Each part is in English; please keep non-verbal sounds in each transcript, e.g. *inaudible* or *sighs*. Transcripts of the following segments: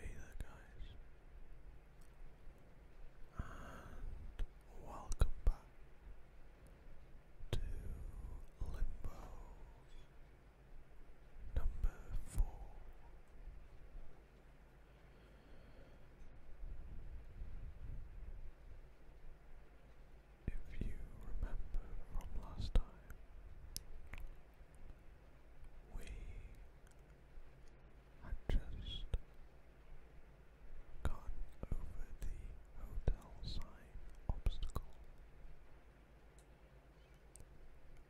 Hey there guys and welcome back to Limbo number four. If you remember from last time, we had just gone over the hotel sign obstacle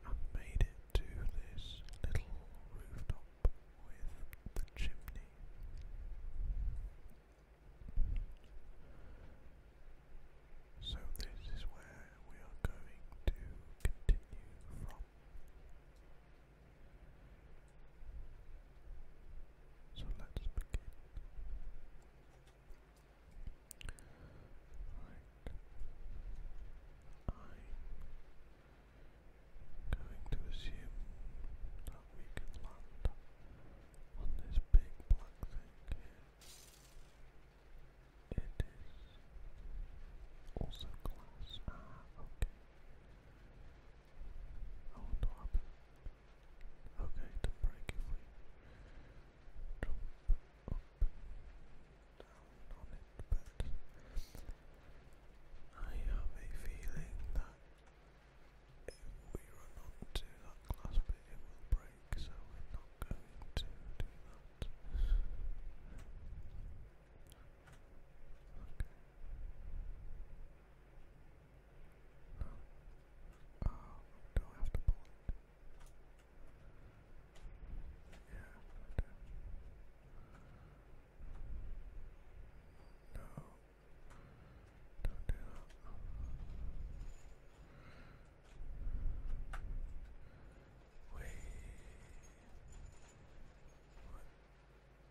and made it to this little rooftop with the chimney. So this is where we are going to continue from. So let's begin. Right. I'm going to assume that we can land on this big black thing it is also glass. Ah, okay. Oh, what happened? Okay, to break if we jump up and down on it, but I have a feeling that if we run onto that glass bit, it will break break, so we're not going to do that. Oh, do I have to pull it? Yeah, No. Don't do that. Wait. No. Is that not right?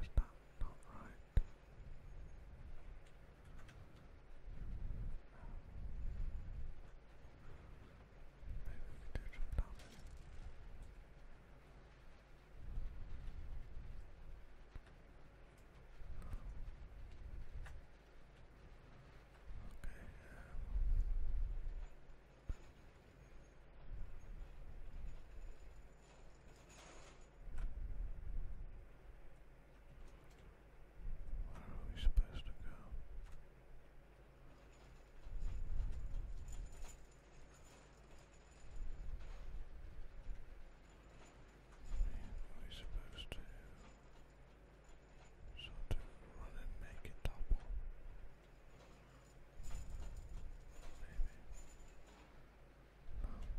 Maybe we do some where are we supposed to go? are we supposed to sort of run and make it topple? Maybe. Um, maybe.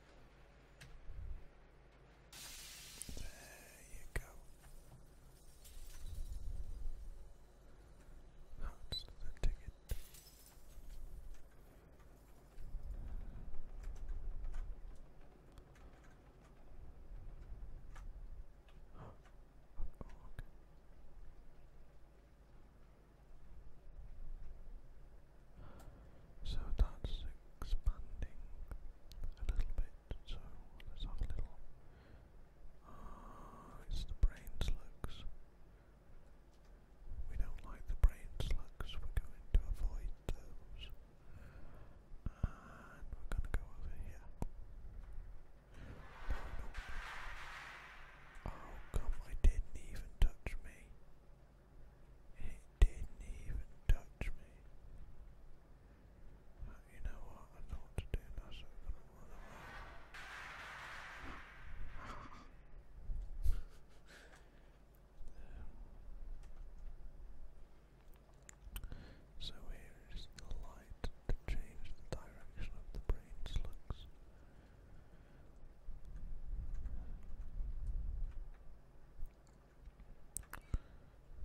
There you go. That's the ticket. Oh, okay. So that's expanding a little bit. So let little. Ah, it's the brain We don't like the brain We're going to avoid those, and we're going to go over here. No, no. Oh come! I didn't even touch me. It didn't even touch me. But you know what? I know what to do now, so I'm *laughs* So here is the light to change the direction of the brain slugs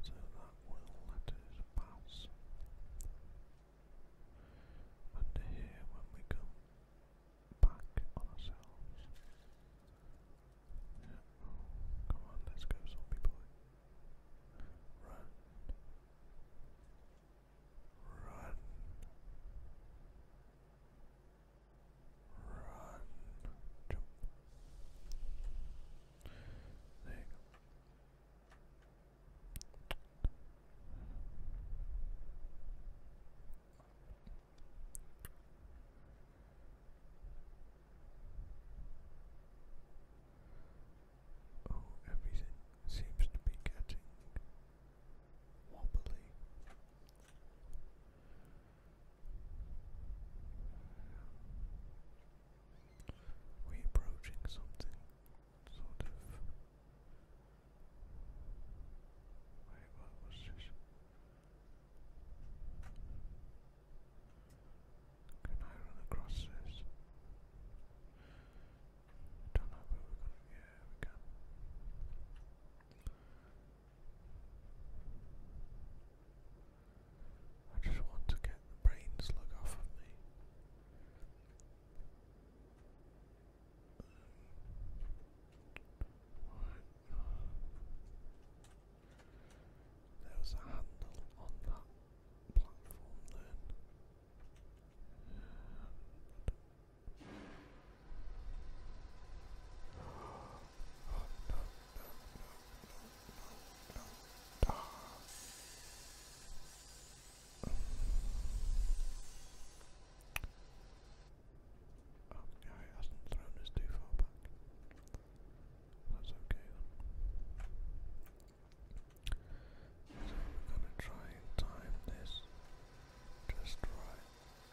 so that will let us pass under here when we come back on ourselves. Yeah. come on, let's go, zombie boy. Run. Run. Run. Jump. There you go. Oh, everything seems to be getting wobbly. we approaching something sort of. Wait, what was this? Can I run across this? I don't know where we're going. Yeah, we can. I just want to get the off of me. There was a handle on that platform then. Oh, no, it hasn't thrown us too far back. That's okay So we're gonna try and time this just right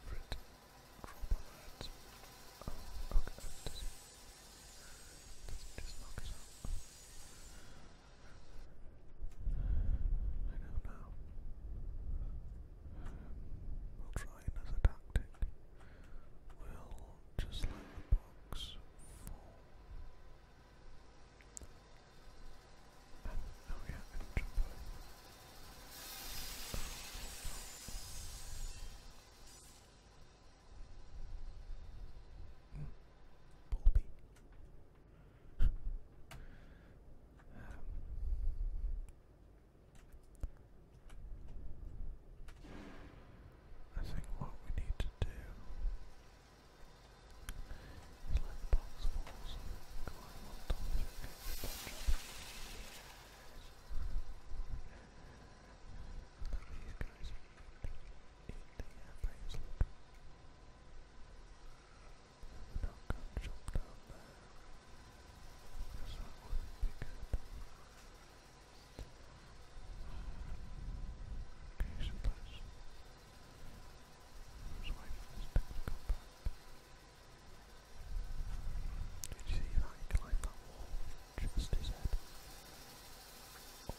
for it Trouble that. Oh, okay. Does he, does he just knock us out? I don't know. Um, we'll try another tactic. We'll just let the box fall. And, oh yeah, and jump over. Bobby. um, I think what we need to do is let the box falls, None of these guys are anything anybody's looking. Now come jump down there. Because that wouldn't be good. Okay, so let's, let's wait for this thing to come back. Let's did you see that? He climbed that wall just his head. Uh,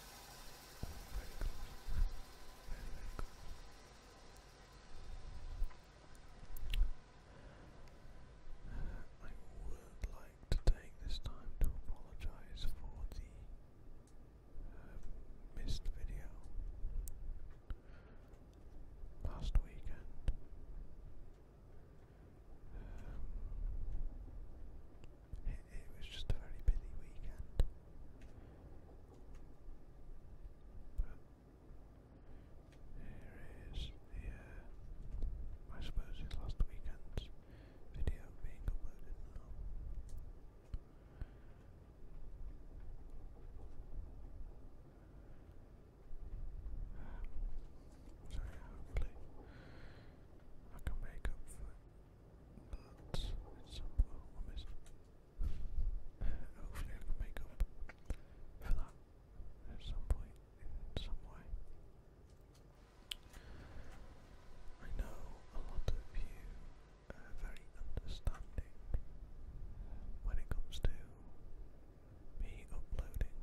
I would like to take this time to apologise for the uh, missed video last weekend. Um, it, was just a very busy weekend. But here is the, uh, I suppose it's last weekend's video being uploaded now. Um, so hopefully I can make up for that at some point. hopefully make up for that at some point in some way. I know a lot of you are very understanding when it comes to be uploading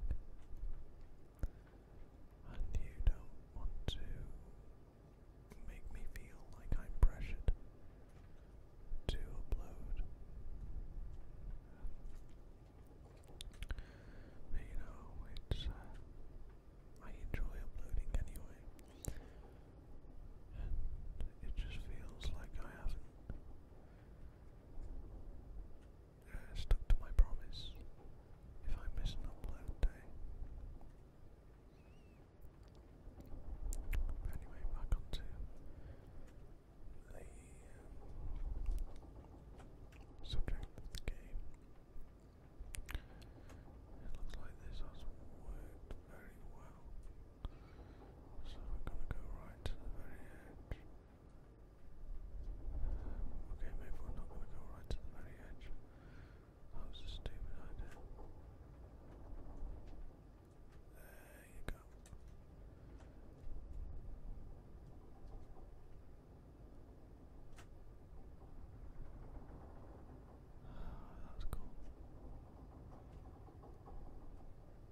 and you don't want to make me feel like I'm pressured to upload. you know, it's uh, I enjoy uploading anyway, and it just feels like I have uh, stuck to my promise if I miss an upload day. Anyway, back onto the um, subject of the game. It looks like this has worked very well. So we're gonna go right to the very edge. Okay, maybe we're not gonna go right to the very edge. That was a stupid idea. There you go. Ah, *sighs* that's cool.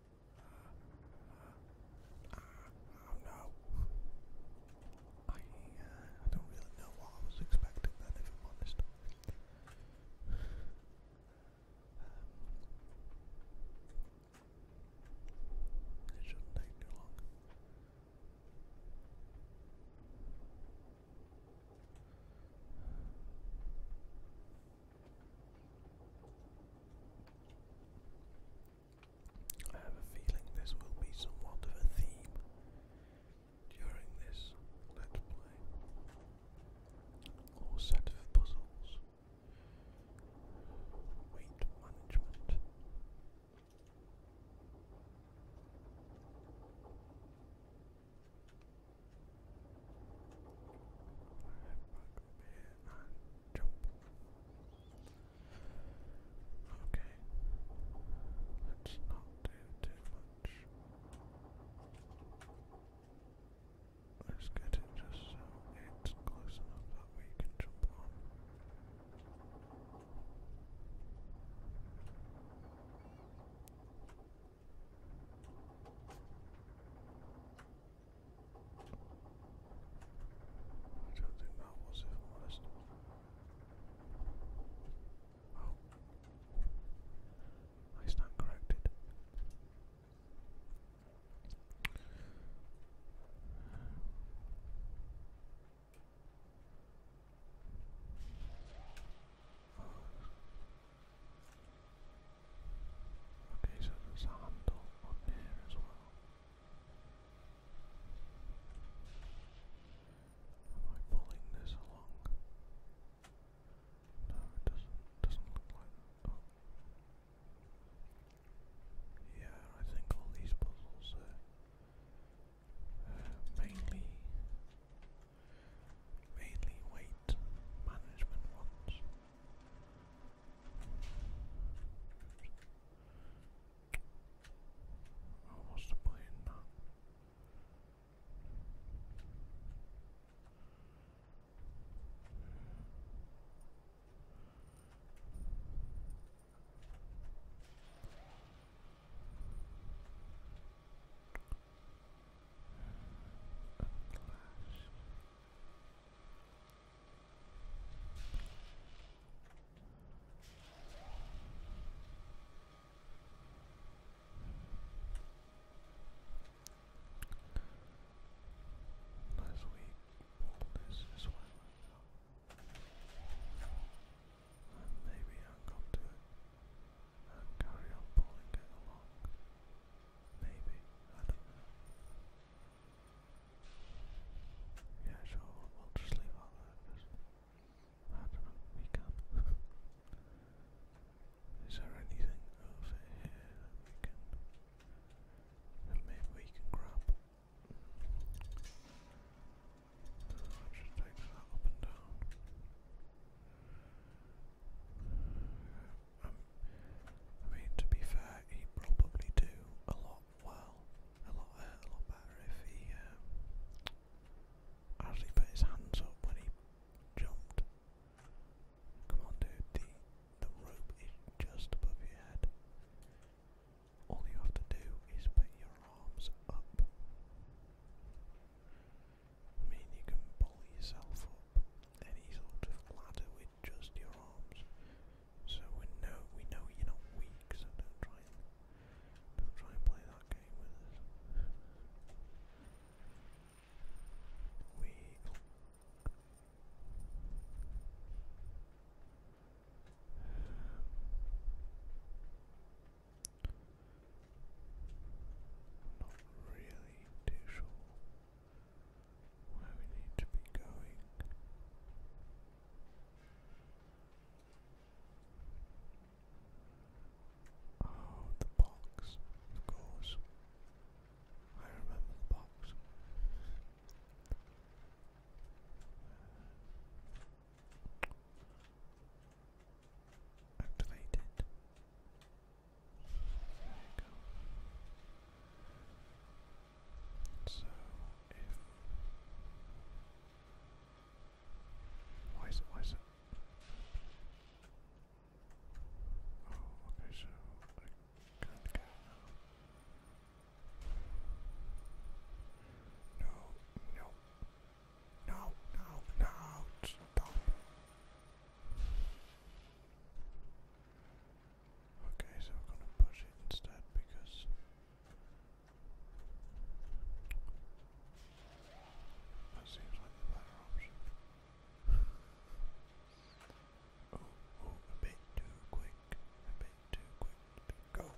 I don't know. I, don't really know what I was expecting it shouldn't take too long. I have a feeling this will be somewhat of a theme during this let's play or set of puzzles. Weight management and jump. Okay, let's not do too much. Let's get it just so it's close enough that we can jump on. I don't think that was, if i Oh, I stand corrected. Okay, so there's a handle on there as well. Am I pulling this along? No, it doesn't doesn't look like that. Oh. Yeah, I think all these puzzles uh, mainly mainly weight management ones. Oh, what's the point in that? Last week, this is why and maybe I'll come to it and carry on pulling it along. Maybe. I don't know. Yeah, sure, we'll, just leave all that because I don't know, we can. *laughs* Is there anything over here that we can maybe we can grab? Mm. I just take that up and down. Um, I mean, to be fair, he'd probably do a lot well, a lot, uh, a lot better if he um, actually put his hands up when he jumped. Come on, dude, the the rope is just above your head. All you have to do is put your arms up. I mean, you can pull yourself up any sort of ladder with just your arms. So we know we know you're not weak, so don't try don't try and play that game with us. We oh. *sighs* not really too sure where we need to be going. Oh, the box, of course. I remember the box. Uh, activated. So if why is it why is it Oh, okay, so I can't go No, no, no, no, no, stop. Okay, so I'm gonna push it instead because that seems like the better option. *laughs* oh, oh, a bit too quick, a bit too quick. Go.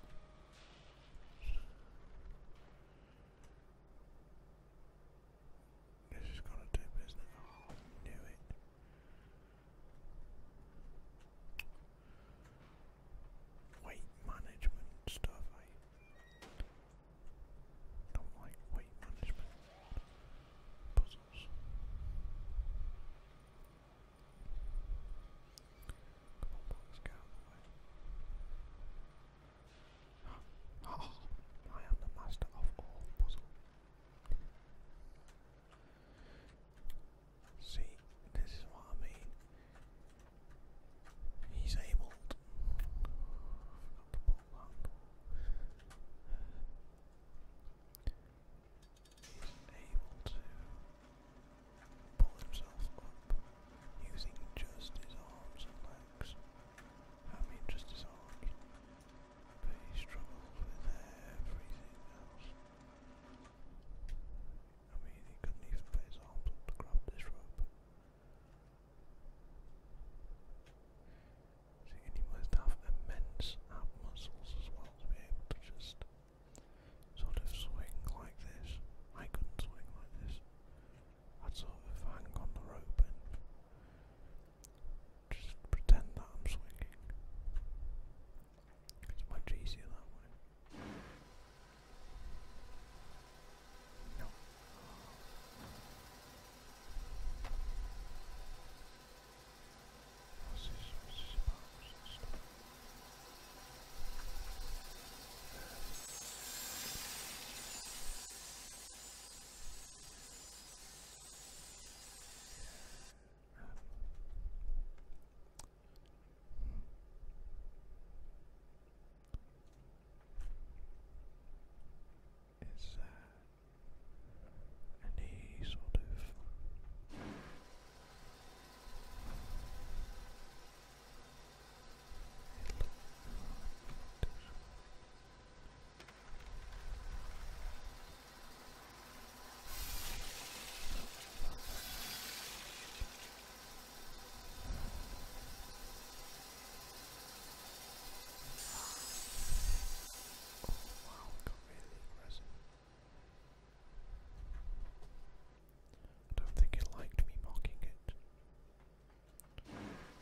This is gonna do business. Oh, knew it. Weight management stuff. I don't like weight management puzzles. Come on, box, get out *gasps* oh, I am the master of all puzzles. See, this is what I mean. He's able. To, pull himself up using just his arms and legs. I mean, just his arms he struggles with everything else. I mean, he couldn't even put his arms up to grab this rope. See, he must have immense ab muscles as well to be able to just sort of swing like this. I couldn't swing like this. I'd sort of hang on the rope just pretend that I'm swinging. It's much easier that way. Is there any sort of Oh wow, got really aggressive. I don't think it liked me mocking it.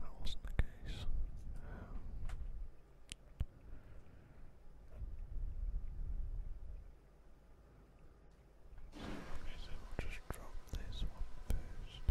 that wasn't the case. Um, okay, so we'll just drop this one first.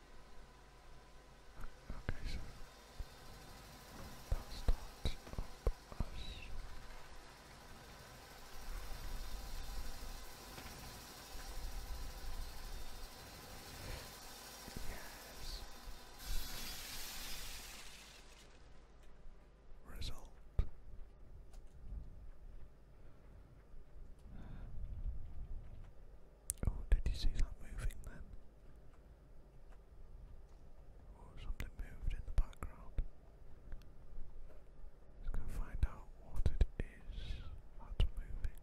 Okay, so that up as Yes. Result. Oh, did you see that moving then? Or oh, something moved in the background. Let's go find out what it is that's moving.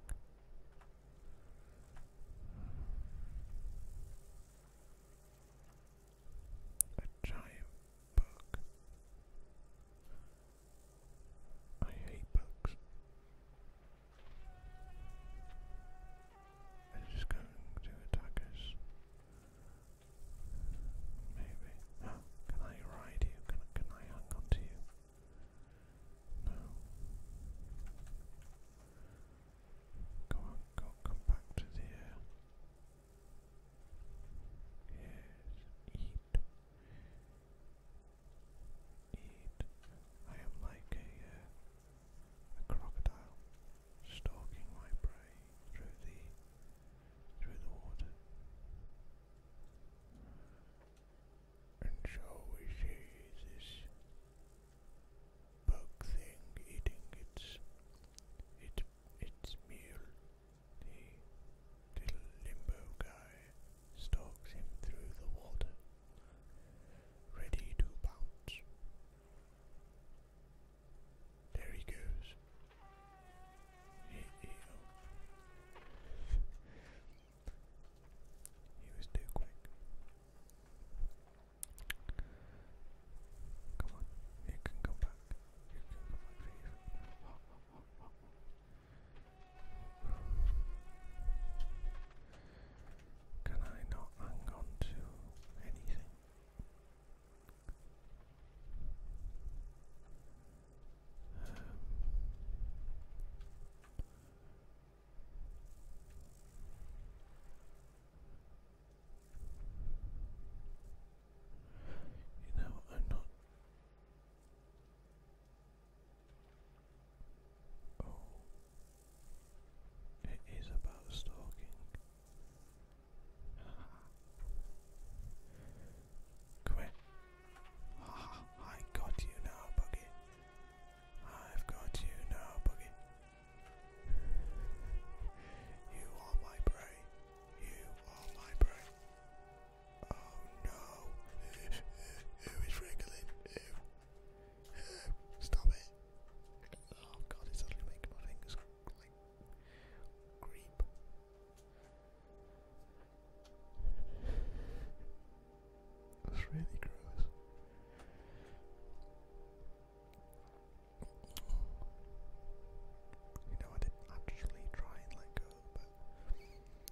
A giant bug. I hate bugs they just going to attack us. Maybe. *gasps* can I ride you? Can, can I hang on you? No. Go on, go, come back to the air. Yes, eat eat. I am like a, uh, a crocodile stalking my prey through the through the water. And so we see this bug thing eating its its its meal. The little limbo guy stalks him through the water ready to pounce. There he goes. Oh. He, was too quick. Come on, you can come back. You can come back, can I not hang on to anything? Um, you know, I'm not Oh, it is about stalking. Ah. Come here. Ah, I got you now, Buggy. I've got you now, Buggy. You are my prey. You are my prey. Oh no. *laughs* Who is wriggling? Who Stop it. Oh god, it's actually making my fingers like creep. That's really gross. You know, I didn't actually try and let go, but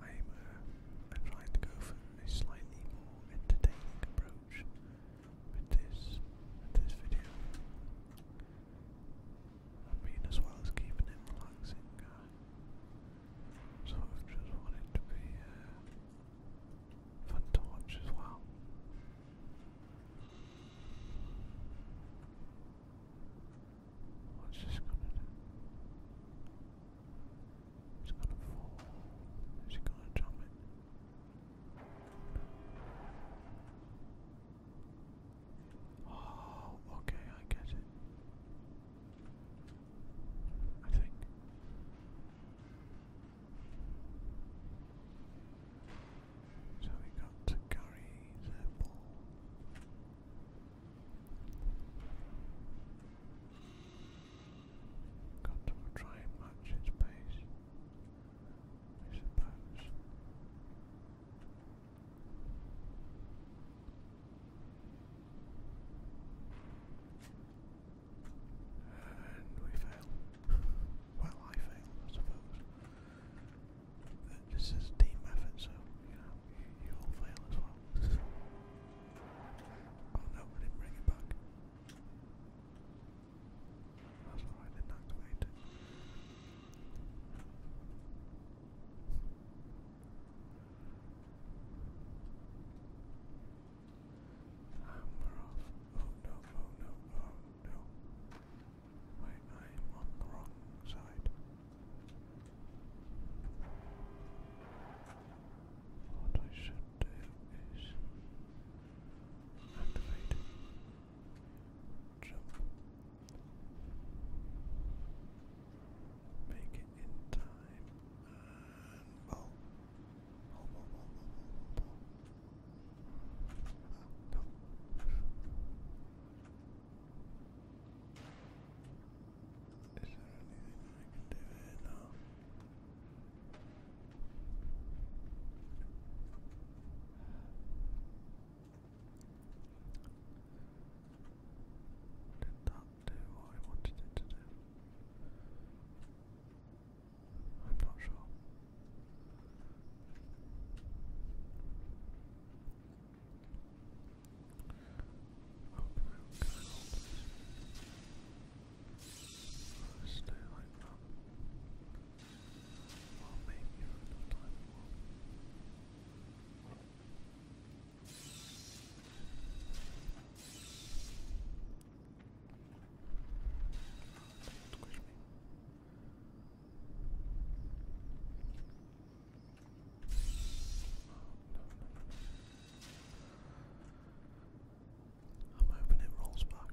Uh, I'm, trying to go for a slightly more entertaining approach with this, this video. I mean, as well as keeping it relaxing, I uh, sort just want to be uh, fun to watch as well. What's this gonna do? It's gonna fall. Is it gonna jump it? Oh, okay, I get it. I think. So we got to carry Got to try and match its pace, I suppose. And we fail. well, I failed, I suppose. This is team effort, so, you oh no, I didn't bring it back. That's why I didn't activate it. And off. Oh no, oh no, oh no. Wait, I'm on the wrong side. What I should do is activate jump, make it in time, and oh, is there anything I can do now? Did that do what I wanted it to do? I'm not sure. I'll stay like that. Well, maybe for another time you will. Oh, don't squish me. I'm hoping it rolls back.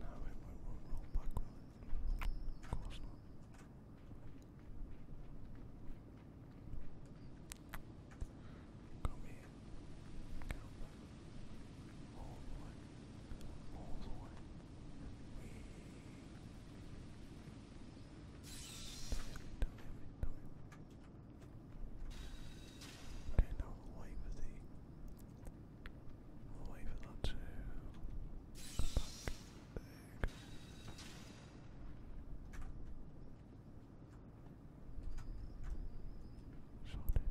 No, it won't, roll back, Of course not. Come here. Okay, now we'll wait for the. We'll wait for that to come back. There you go. Sorted.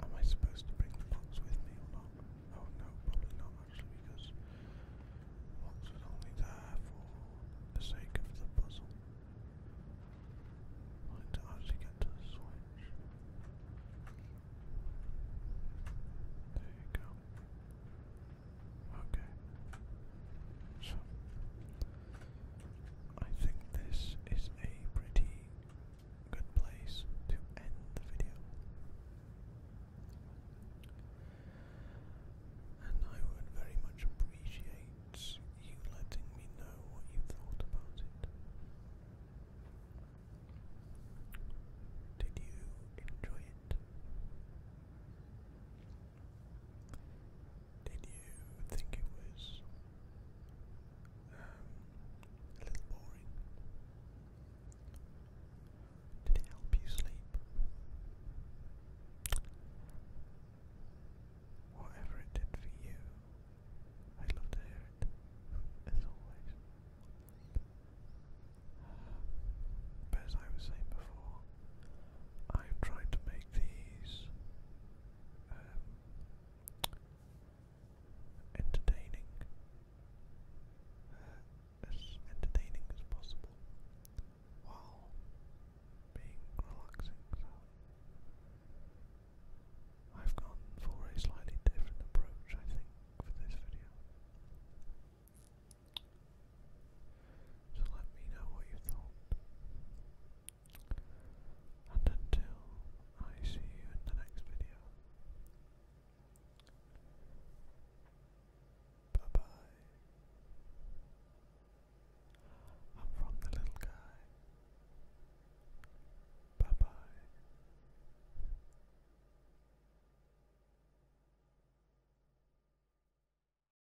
Am I supposed to bring the box with me or not? Oh no, probably not actually because the box was only there for the sake of the puzzle. I actually get to switch. There you go. Okay. So I think this is a pretty good place to end the video. And I would very much appreciate you letting me know what you thought about it. Did you enjoy it? Did you think it was um, a little boring? Did it help you sleep? Whatever it did for you, i love to hear it, as always. as I was saying before, I'm trying to make these um, entertaining, uh, as entertaining as possible, while being relaxing. I've gone for a slightly different approach, I think, for this video. So let me know what you thought. And until I see you in the next video, bye bye. I'm from the little guy. Bye bye.